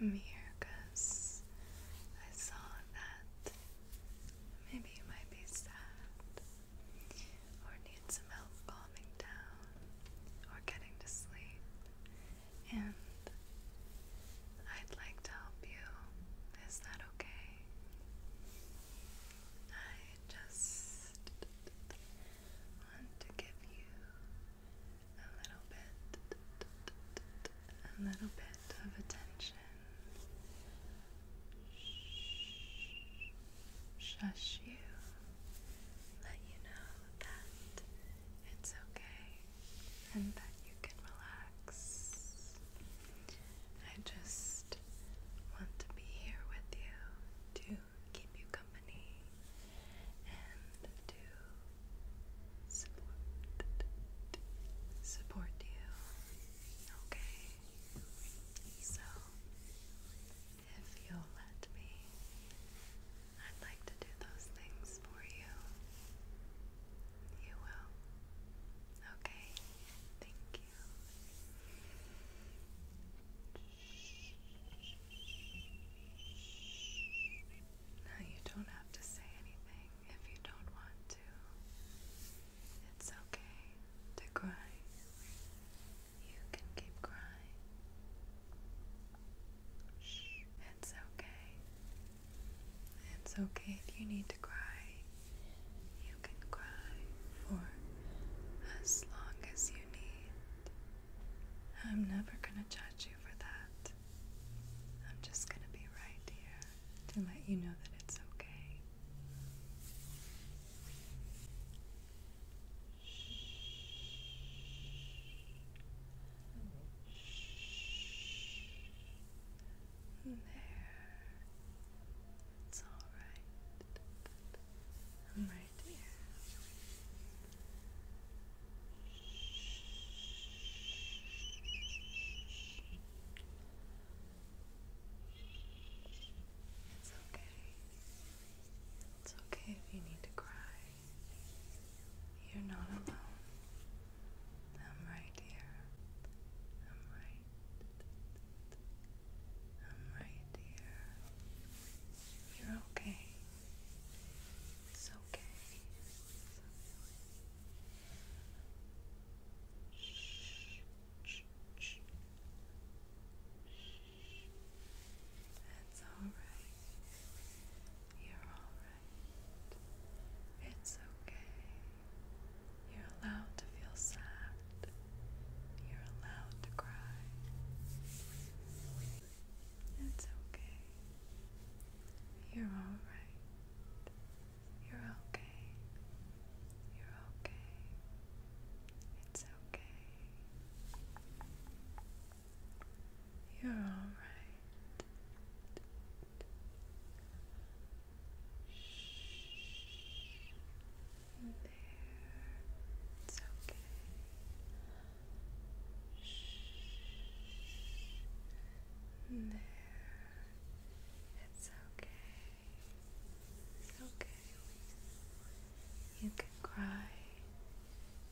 I'm here because I saw that maybe you might be sad or need some help calming down or getting to sleep, and I'd like to help you. Is that okay? I just want to give you a little bit, a little bit of attention. Shush you, let you know that it's okay and that you can relax. I just want to be here with you to keep you company and to support support you. Okay. So if you'll let me, I'd like to do those things for you. You will. Okay. Thank you. Now you don't have to say anything if you don't want to. It's okay to cry. You can keep crying. It's okay. It's okay if you need to cry. You can cry for as long as you need. I'm never going to judge you for that. I'm just going to be right here to let you know that it's okay. There. It's all right. I'm right it's okay. It's okay if you need to cry. You're not alone. I'm right here. I'm right. I'm right here. You're okay. It's okay. Shh, shh, alright. You're alright. It's okay. You're allowed to feel sad. You're allowed to cry. It's okay. You're all right. You're okay. You're okay. It's okay. You're all right. Shh. There. It's okay. It's okay. It's okay. You can cry.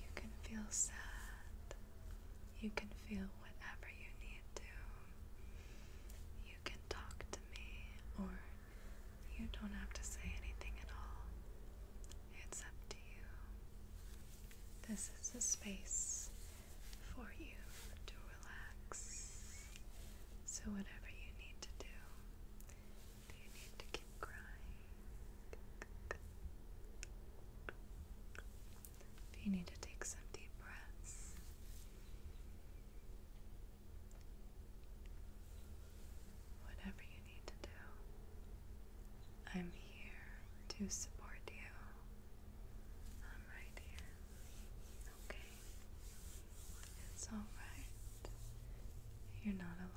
You can feel sad. You can feel whatever you need to. You can talk to me, or you don't have to say anything at all. It's up to you. This is a space for you to relax. So, whatever you need to do, you need to keep crying? Do you need to take some deep breaths? whatever you need to do. I'm here to support you. I'm right here. Okay? It's alright. You're not alone.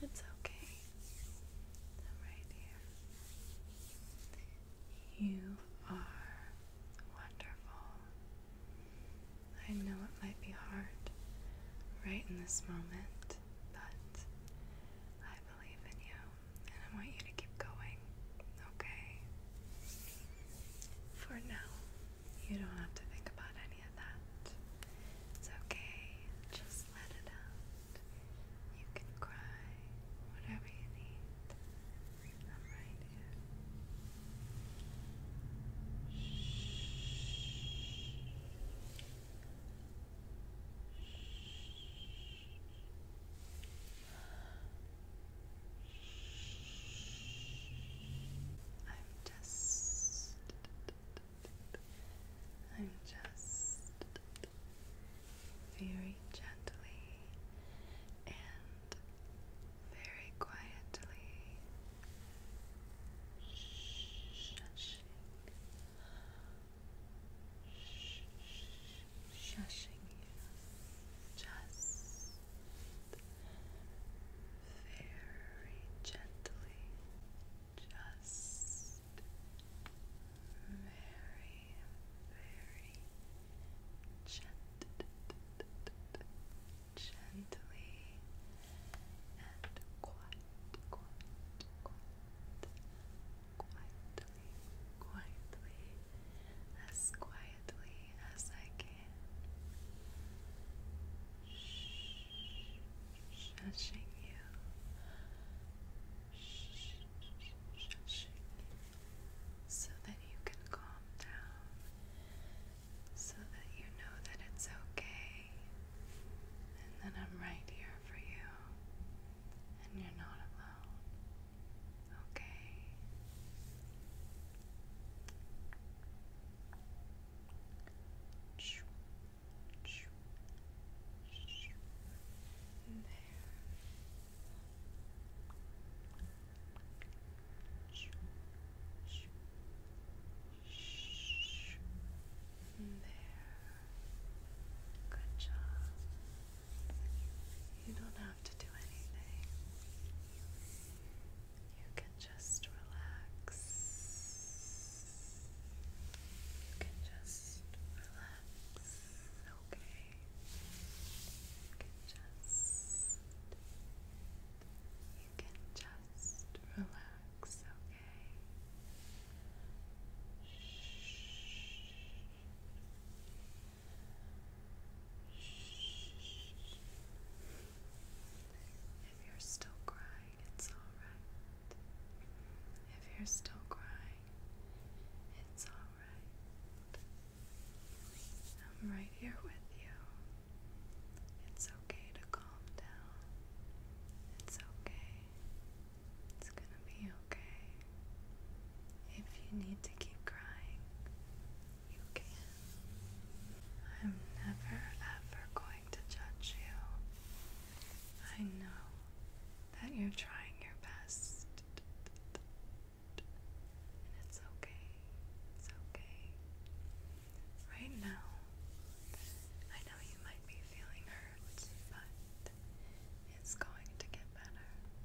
It's okay. I'm right here. You are wonderful. I know it might be hard right in this moment, but I believe in you and I want you to keep going, okay? For now, you don't have to think about any of that. It's okay, just let it out. You can cry, whatever you need. I'm right here. Shh. Shh. I'm just I'm just very gently and very quietly shushing shushing you just very gently, just very, very gently and quiet, quiet, quiet, quietly, quietly as quietly as I can, shushing you, shushing you, so that you can calm down, so that you know that it's okay, and that I'm right here for you, and you're not alone. Okay. There. There. Good job. You don't have to do anything. You can just relax. You can just relax, okay? You can just. You can just relax, okay? Shh. Shh. If you're still crying, it's alright. If you're still crying, it's alright. I'm right here with you. It's okay to calm down. It's okay. It's gonna be okay. If you need to keep crying, you can. I'm never ever going to judge you. I know that you're trying your best. And it's okay. It's okay. Right now, I know you might be feeling hurt, but it's going to get better.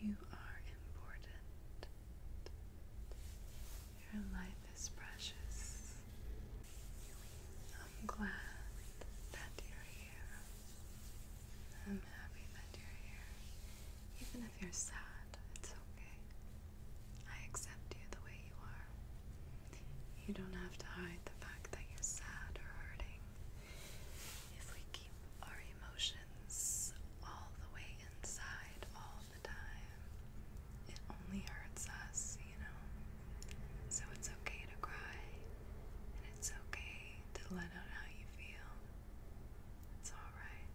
You are important. Your life is precious. I'm glad that you're here. I'm happy that you're here. Even if you're sad, it's okay. I accept you the way you are. You don't have to hide the fact that you're sad or hurting. If we keep our emotions all the way inside all the time, it only hurts us, you know? So it's okay to cry, and it's okay to let out how you feel. It's alright.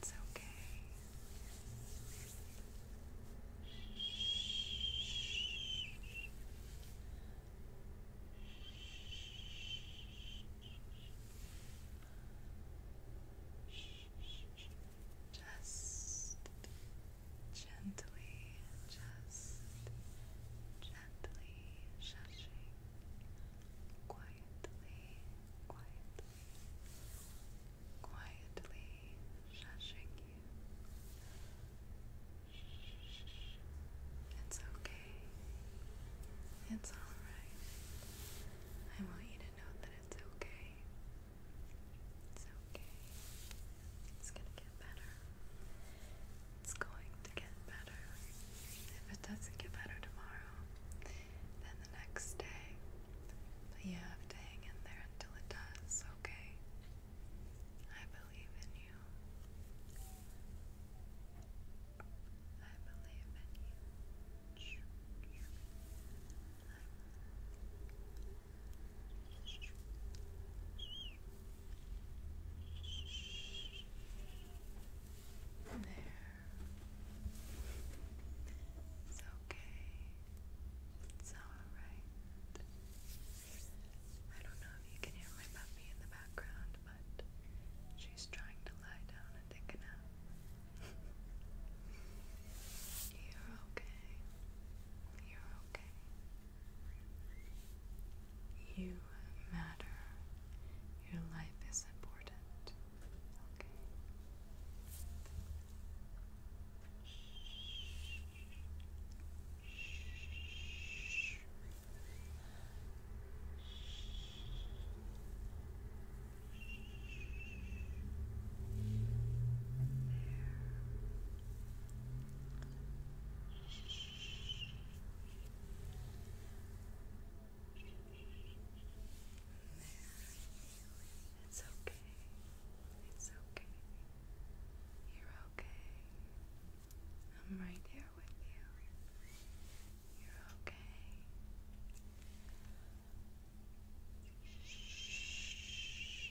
It's okay. Shh. Just gently, just gently shushing quietly, quietly, quietly shushing it's okay. It's alright. I want you to know that it's okay. It's okay. It's gonna get better. It's going to get better. If it doesn't get better tomorrow, then the next day. you have to hang in there until it does, okay? I believe in you. I believe in you. there. It's okay. It's alright. I don't know if you can hear my puppy in the background, but she's trying to lie down and take a nap. You're okay. You're okay. You matter. Your life is important. Okay. It's okay. It's okay. You're okay. I'm right there with you. You're okay. Shh.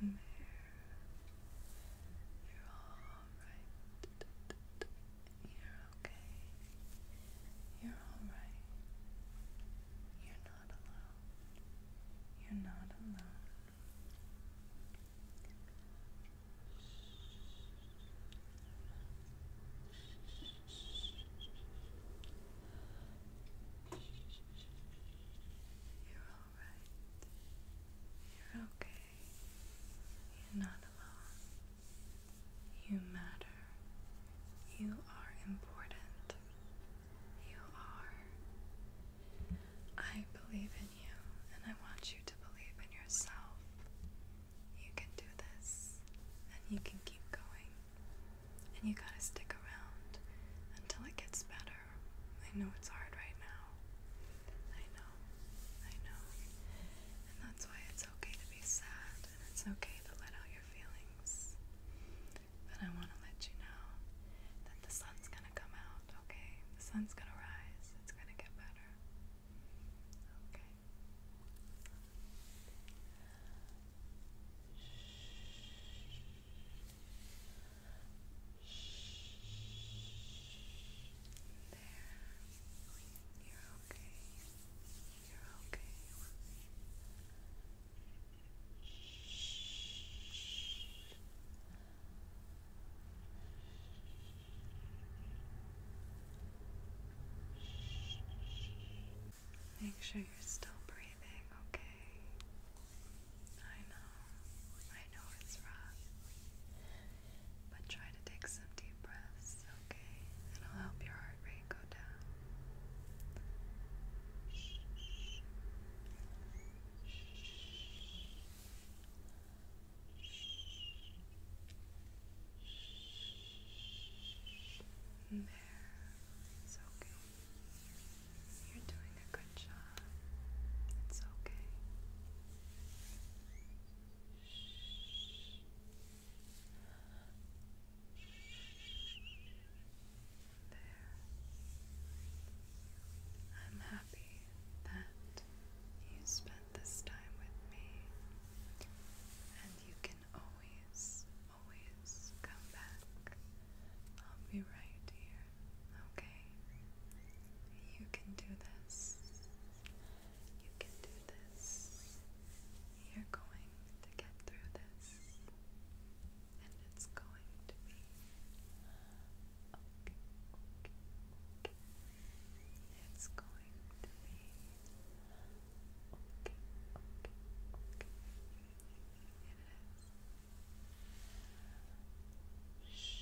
There. You're all right. You're okay. You're all right. You're not you're not alone. You're alright. You're okay. You're not alone. You matter. You are important. You are. I believe in you, and I want you to believe in yourself. You can do this, and you can keep going. And you gotta stick around until it gets better. I know it's hard right now. I know. I know. And that's why it's okay to be sad, and it's okay to let out your feelings. But I want to let you know that the sun's going to come out, okay? The sun's going to rise. It's going to get better. Okay. There. You're okay. You're okay. Make sure you're still breathing, okay? I know, I know it's rough, but try to take some deep breaths, okay? It'll help your heart rate there, it's okay. You're doing a good job. It's okay. Shh. I'm happy that you spent this time with me, and you can always, always come back. I'll be right here, okay? You can do this. You can do this. You're going to get through this and it's going to be It's going to be Shh.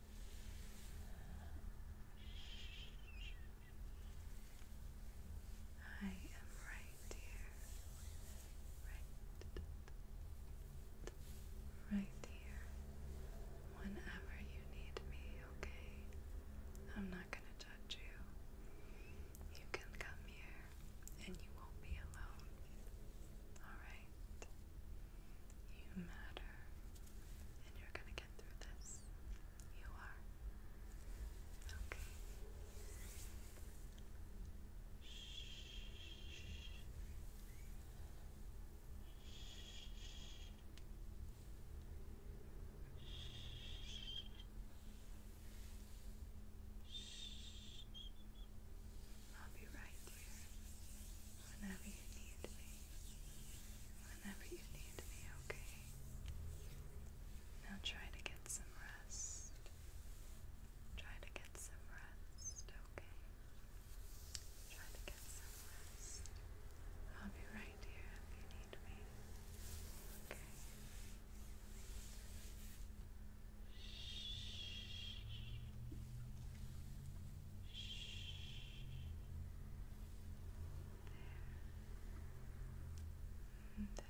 I am right here. Right. Right here. Whenever you need me, okay? I'm not going to judge you. You can come here and you won't be alone. Alright? You matter and you're going to get You are. Okay. Shh. I'll be right here whenever you need me whenever you need me, okay? Now try to get some rest. Try to get some rest, okay? Try to get some rest. I'll be right here if you need me, Shh. Shh there, and there.